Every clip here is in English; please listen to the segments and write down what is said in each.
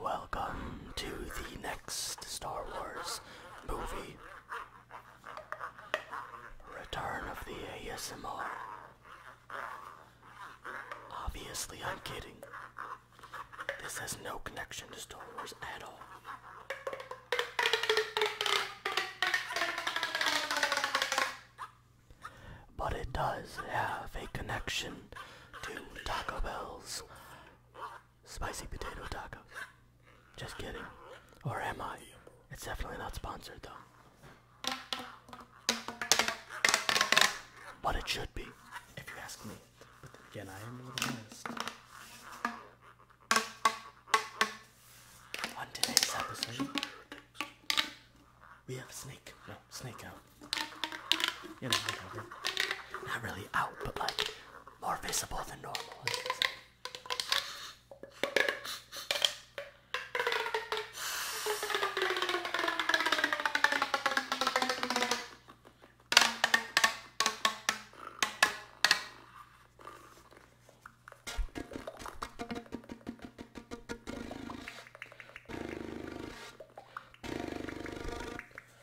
Welcome to the next Star Wars movie. Return of the ASMR. Obviously, I'm kidding. This has no connection to Star Wars at all. But it does have a connection to Taco Bell's Spicy potato tacos. Just kidding. Or am I? It's definitely not sponsored though. But it should be, if you ask me. But again, I am the little On today's episode, we have a Snake. No, Snake out. You know, whatever. Not really out, but like more visible than normal.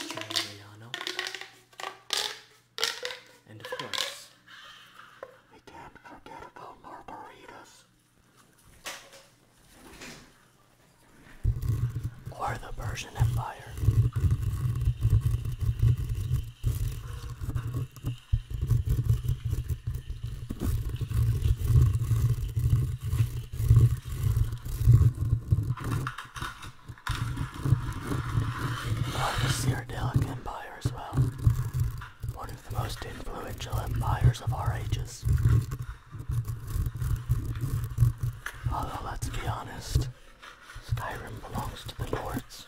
Giuliano. And of course, we can't forget about margaritas. Or the Persian Empire of the Cyrodelic Empire as well. One of the most influential empires of our ages. Although, let's be honest, Skyrim belongs to the Lords.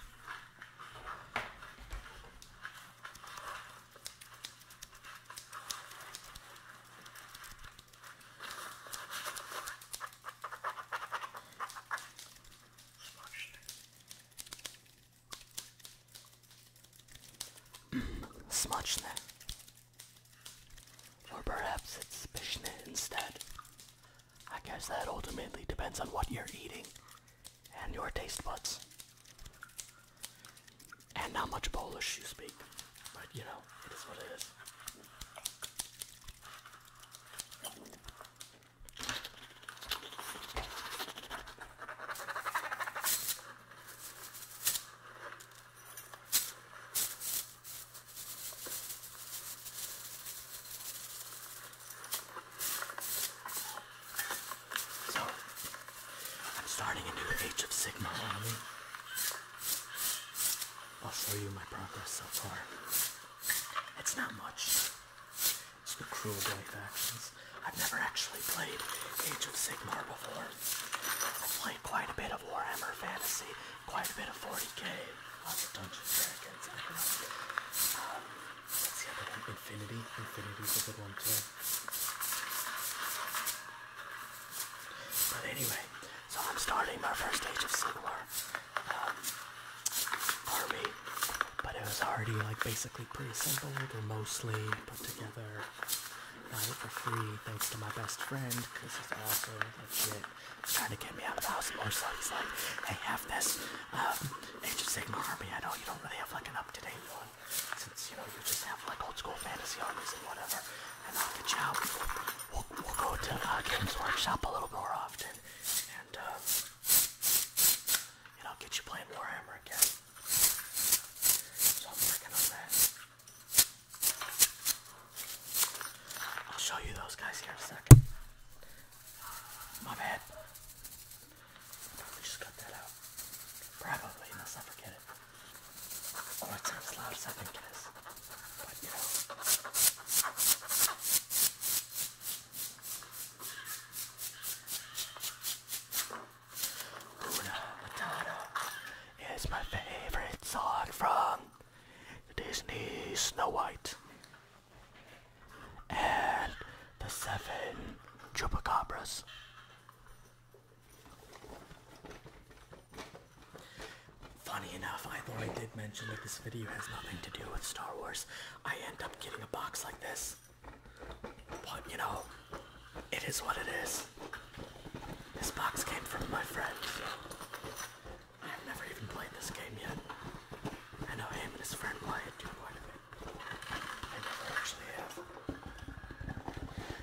Smochne. Or perhaps it's Bishne instead. I guess that ultimately depends on what you're eating and your taste buds. And how much Polish you speak. But you know, it is what it is. So, I'm starting a new Age of Sigma army. I'll show you my progress so far. It's not much. It's the cruel life actions. I've never actually played Age of Sigmar before. I've played quite a bit of Warhammer Fantasy, quite a bit of 40k, lots of Dungeons Dragons. Um, what's Infinity. Infinity's the one too. But anyway, so I'm starting my first Age of Sigmar um, army, but it was already like basically pre-assembled or mostly put together uh, for free thanks to my best friend. This is also legit. He's trying to get me out of the house more, so he's like, "Hey, have this um, Age of Sigmar army. I know you don't really have like an up-to-date one, since you know you just have like old school fantasy armies and whatever, and I'll get you out." we'll, go to uh, Games Workshop a little more often, and uh, and I'll get you playing Warhammer again. So I'm working on that. I'll show you those guys here in a second. Uh, my bad. probably just cut that out. Probably, unless I forget it. Oh, it it is. is my favorite song from Disney Snow White. And the seven chupacabras. Funny enough, I thought I did mention that this video has nothing to do with Star Wars. I end up getting a box like this. But, you know, it is what it is. This box came from my friend, so I've never even played this game yet. I know him and his friend play it too quite a bit. I actually have.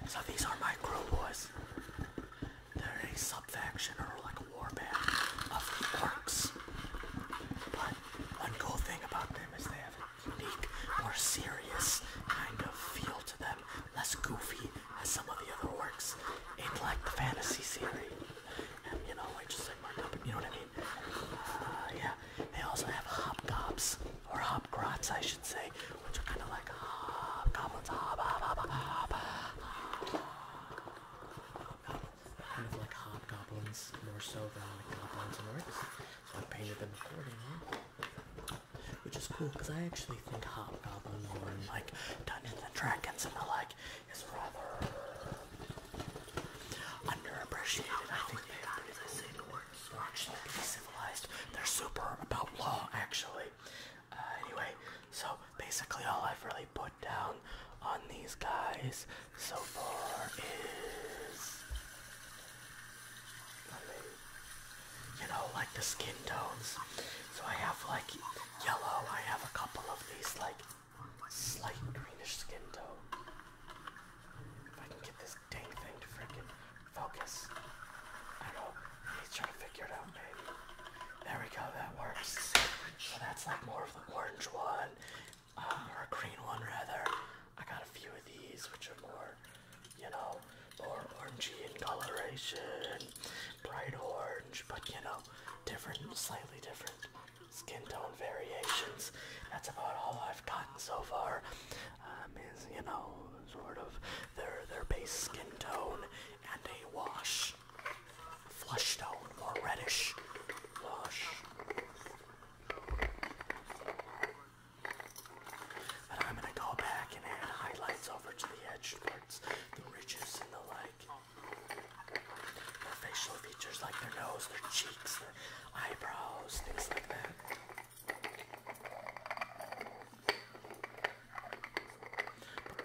So these are my crew boys they're a subfaction or like a warband of orcs. But one cool thing about them is they have a unique, more serious kind of feel to them, less goofy as some of the other orcs in like the fantasy series. And you know, like just like Mark up, you know what I mean? Uh, yeah. They also have hobgobs, or hobgrots I should say, which are kind of like hobgoblins, more so than like goblins and orcs. I painted them accordingly, which is cool because I actually think hobgoblins or like Dungeons and Dragons and the like is rather underappreciated. I think they are actually pretty civilized. They're super about law actually. Uh, anyway, so basically all I've really put down on these guys so far is, you know, like the skin tones. So I have like yellow. I have a couple of these like slight greenish skin tone. If I can get this dang thing to freaking Focus. I know. He's trying to figure it out, maybe. There we go. That works. So that's like more of the orange one, um, or a green one rather. I got a few of these, which are more, you know, more orangey in coloration, bright orange, but you know, different, slightly different skin tone variations. That's about all I've gotten so far. Um, is, you know, sort of their, their base skin tone and a wash. Flush tone, more reddish. Wash. And I'm gonna go back and add highlights over to the edge parts, the ridges and the like. Their facial features like their nose, their cheeks, their eyebrows, things like that. But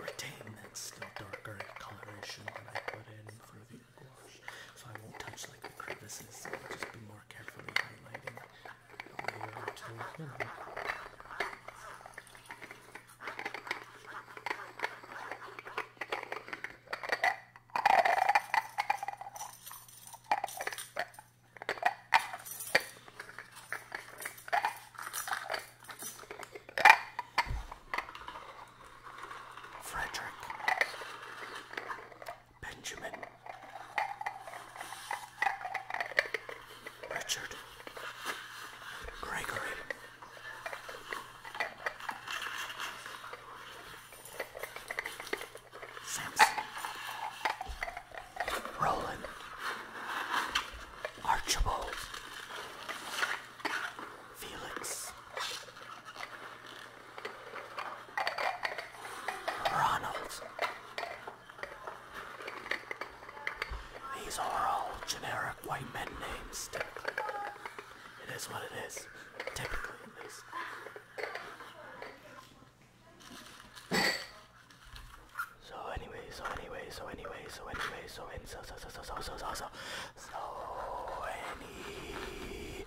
retain that still darker coloration that I put in through the gouache. So I won't touch like the crevices, I'll just be more carefully highlighting a layer or two in them. Frederick Benjamin Richard Gregory Samson Roland, Archibald, Felix, Ronald. These are all generic white men names, It is what it is, typically at least. So anyway, so anyway, so anyway, so anyway, so and so so so so so so so so so anyway.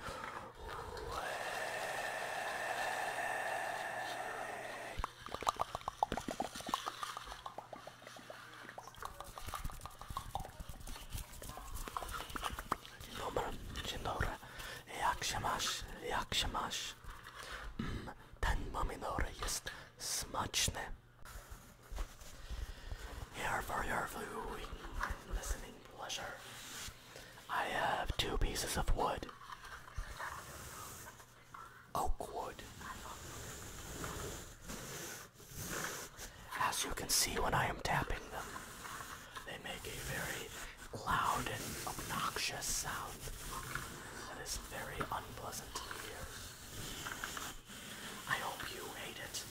Dzień dobry, dzień dobry. Jak się masz? Jak się masz? Mm, ten pomidor jest smaczny. Here for your viewing listening pleasure, I have two pieces of wood. Oak wood. As you can see when I am tapping them, they make a very loud and obnoxious sound that is very unpleasant to hear. I hope you hate it.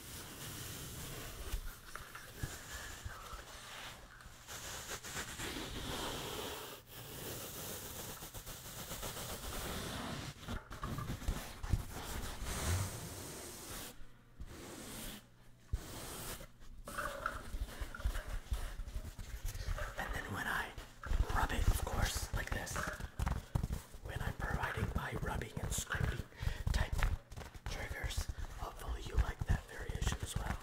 And then when I rub it, of course, like this, when I'm providing my rubbing and scraping type triggers, hopefully you like that variation as well.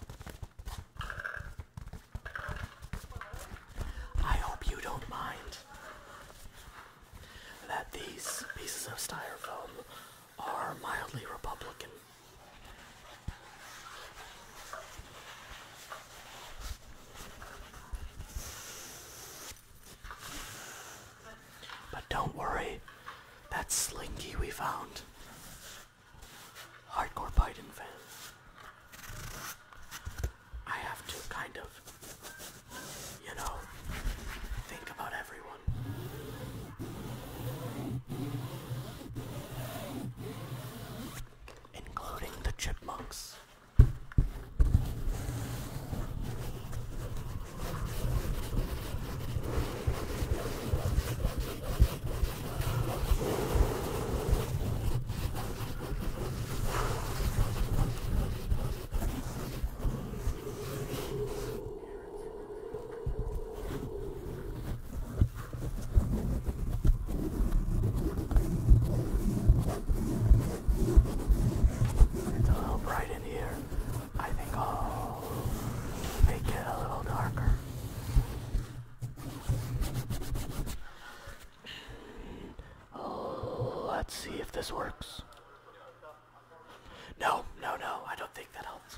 I hope you don't mind that these pieces of styrofoam are mildly Republican but don't worry, that slinky we found. Hardcore Biden fan. I have to kind of, you know, think about everyone including the chipmunks. It's a little bright in here. I think I'll make it a little darker. Oh, let's see if this works. No, no, no, I don't think that helps.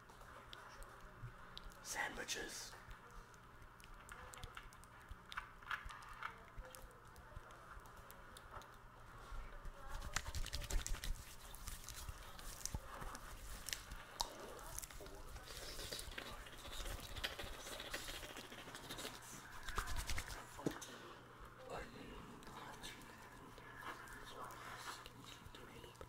Sandwiches.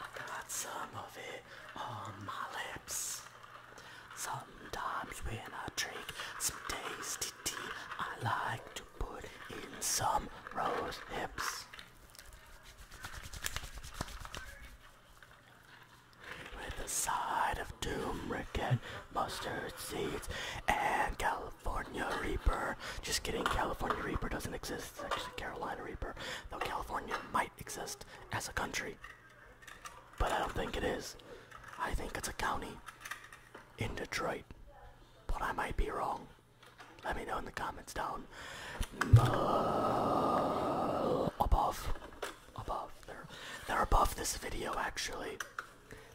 I got some of it on my lips. Sometimes when I drink some tasty tea, I like to put in some rose hips. With a side of turmeric and mustard seeds and California Reaper. Just kidding, California Reaper doesn't exist. It's actually Carolina Reaper, though California might exist as a country. But I don't think it is. I think it's a county in Detroit. But I might be wrong. Let me know in the comments down above. Above. They're, they're above this video, actually.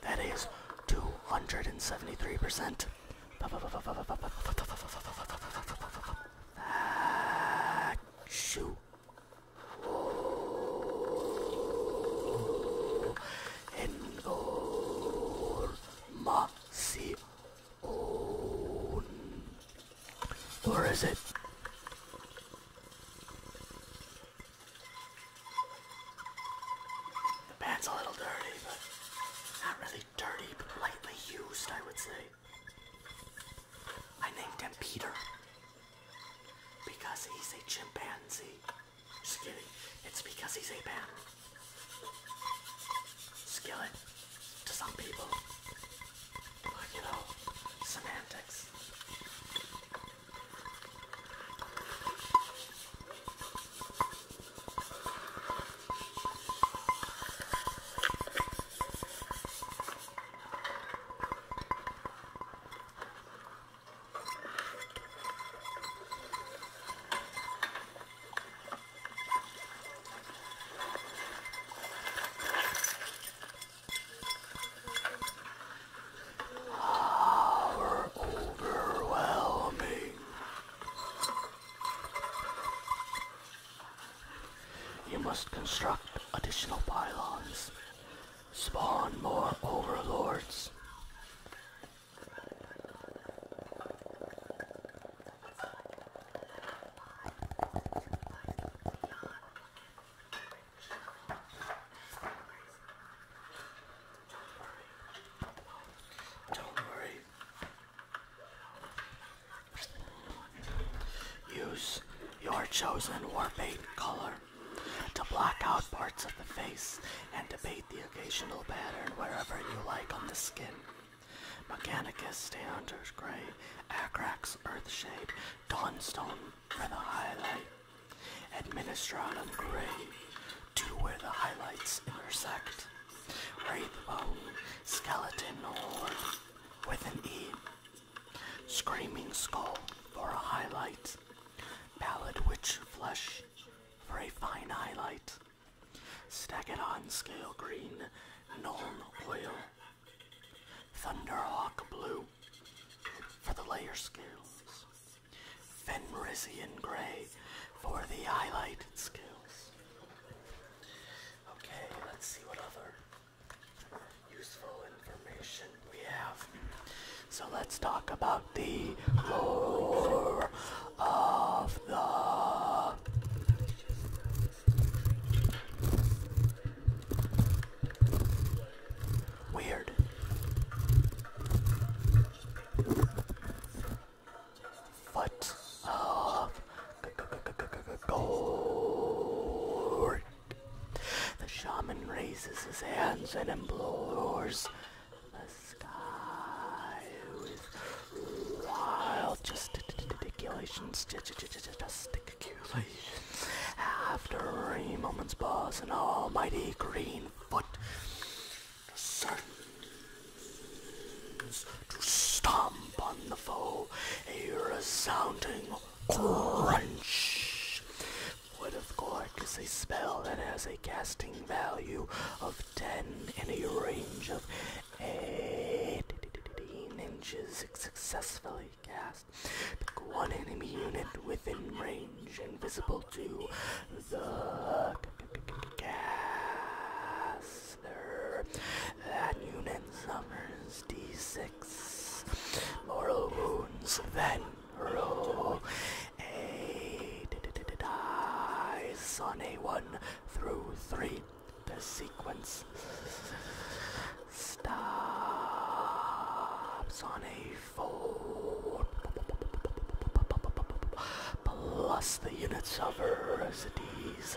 That is 273%. Shoot. Or is it? The pant's a little dirty, but not really dirty, but lightly used, I would say. I named him Peter because he's a chimpanzee. Just It's because he's a man. Skillet to some people. But you know, semantics. Power overwhelming. You must construct additional pylons Spawn more overlords. Don't worry. Use your chosen warp color to block out parts of the face and to paint the occasional pattern wherever you like on the skin. Mechanicus, Stayhunter's Grey, Acrax, Earthshade, Dawnstone for the highlight, Administratum Grey, to where the highlights intersect, Wraithbone, Skeleton Horde, with an E, Screaming Skull for a highlight. Pallid Witch Flesh for a fine highlight. Stack it on Scale Green Gnome Oil. Thunderhawk Blue for the layer scales. Fenrisian Gray for the highlighted scales. Okay, let's see what other useful information we have. So let's talk about the lore of the weird. Foot of gold. The shaman raises his hands and implores the sky with wild justifications. After a moment's pause, an all-mighty green foot descends to stomp on the foe. A resounding Crunch. What, of Gork is a spell that has a casting value of 10 in a range of 18 inches. It successfully cast. Pick one enemy unit within range invisible to the caster. That unit suffers d6 six. wounds then roll a d -d -d -d on a one through three. The sequence stops on a four plus the units of residues.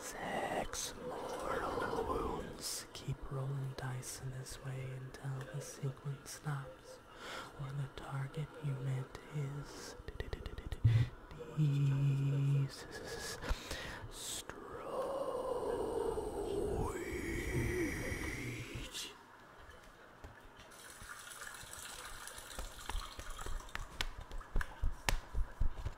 Six mortal wounds. Keep rolling dice in this way until the sequence stops or the target unit is destroyed.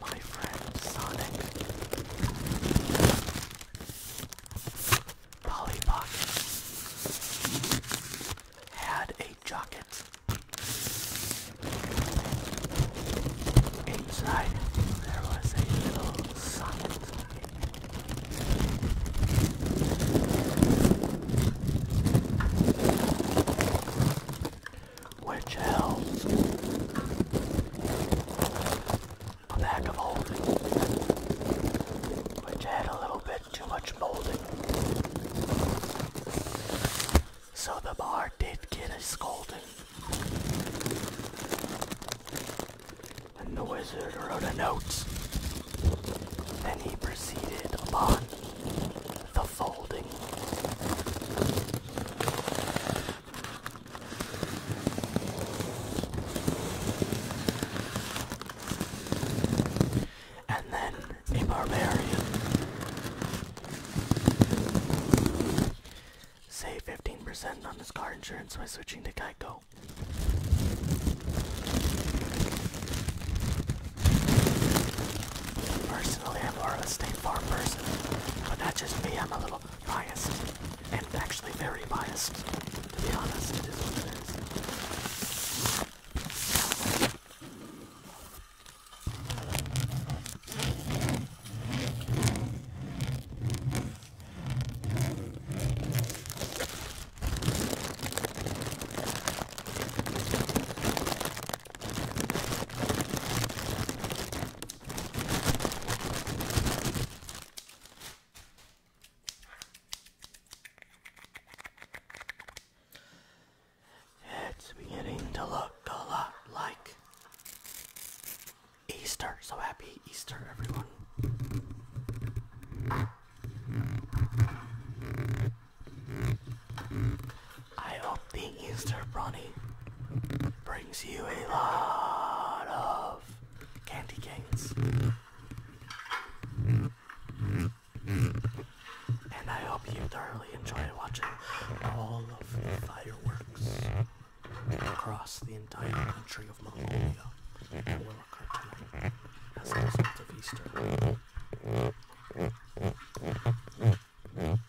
my friend Sonic, Polly had a jacket. Inside there was a little socket which held a bag of holding, which had a little bit too much molding. So the bar did get a scolding. And the wizard wrote a note. Then he proceeded upon the folding. And then a barbarian. Save 15% on his car insurance by switching to Geico. Personally, I'm more of a far person, but that's just me. I'm a little biased, and actually very biased, to be honest. it is. It's beginning to look a lot like Easter. So happy Easter, everyone. I hope the Easter Bonnie brings you a lot of candy canes. And I hope you thoroughly enjoy watching all of the fireworks across the entire country of Mongolia that will occur as a result of Easter.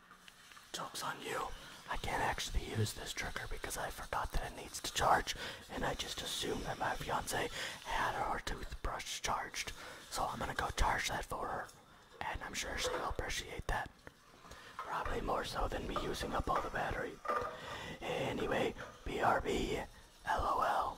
Joke's on you. I can't actually use this trigger because I forgot that it needs to charge, and I just assumed that my fiance had her toothbrush charged. So I'm gonna go charge that for her, and I'm sure she'll appreciate that. Probably more so than me using up all the battery. Anyway, BRB, LOL.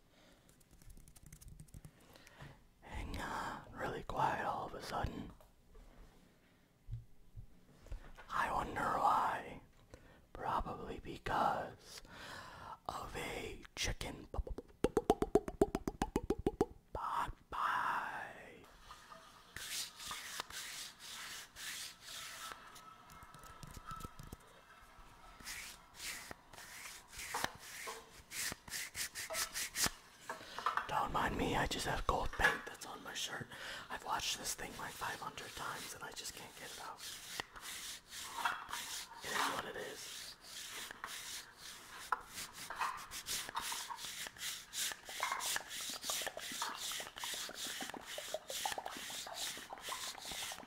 and uh, really quiet all of a sudden. I wonder why. Probably because of a chicken pot don't mind me, I just have gold paint that's on my shirt. I've watched this thing like 500 times and I just can't get it out. It is what it is.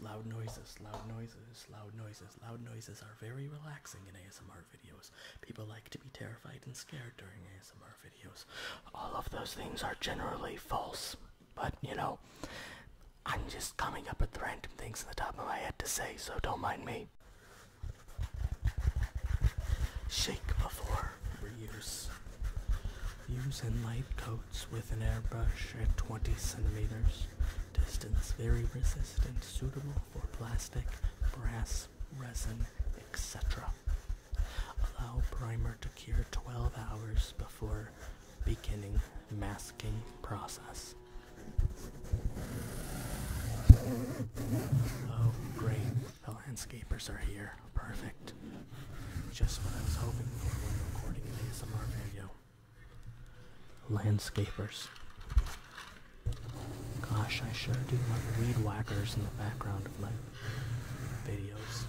Loud noises, loud noises, loud noises, loud noises, Loud noises are very relaxing in ASMR videos. People like to be terrified and scared during ASMR videos. All of those things are generally false, but you know, I'm just coming up with random things in the top of my head to say, so don't mind me. Shake before reuse. Use light coats with an airbrush at 20 centimeters. Distance very resistant, suitable for plastic, brass, resin, etc. Allow primer to cure 12 hours before beginning masking process. Oh, great. The landscapers are here. Perfect. Just what I was hoping for when recording an ASMR video landscapers. Gosh, I sure do love weed whackers in the background of my videos.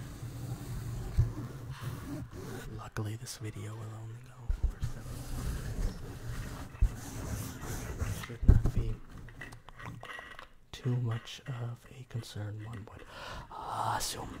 Luckily, this video will only go for seven hours. Should not be too much of a concern, one would assume.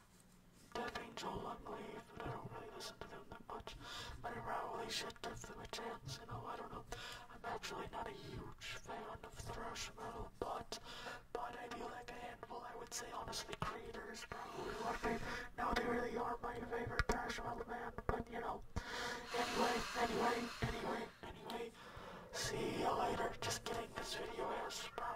Death Angel, I believe, but I don't really listen to them that much. But I probably should give them a chance, you know, I don't know. I'm actually not a huge fan of thrash metal, but, but I do like a handful. I would say, honestly, Creator is probably my favorite. No, they really are my favorite thrash metal band, but, you know. Anyway, anyway, anyway, anyway. See you later. Just kidding, this video is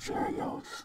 Cheerios.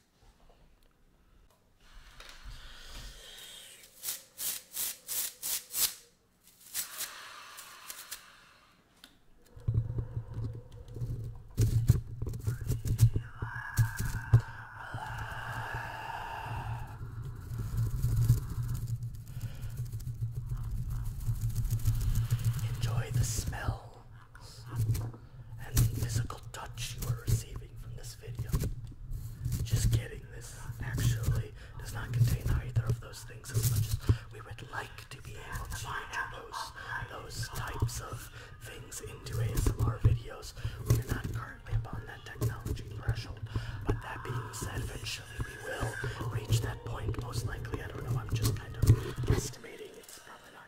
Enjoy the smell and physical touch you are receiving from this video. Just getting this actually does not contain either of those things as much as we would like to be able to find those types of things into ASMR videos. We're not currently upon that technology threshold, but that being said, eventually we will reach that point, most likely. I don't know, I'm just kind of estimating. It's probably not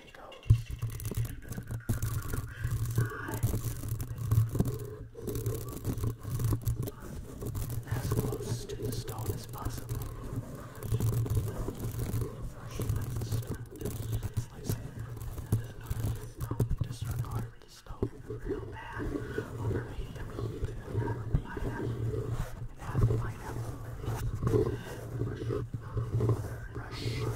many goes. As close to the stone as possible. Disregard the stone real bad. Overheat the meat and have the pineapple. And have the pineapple. Brush. Brush.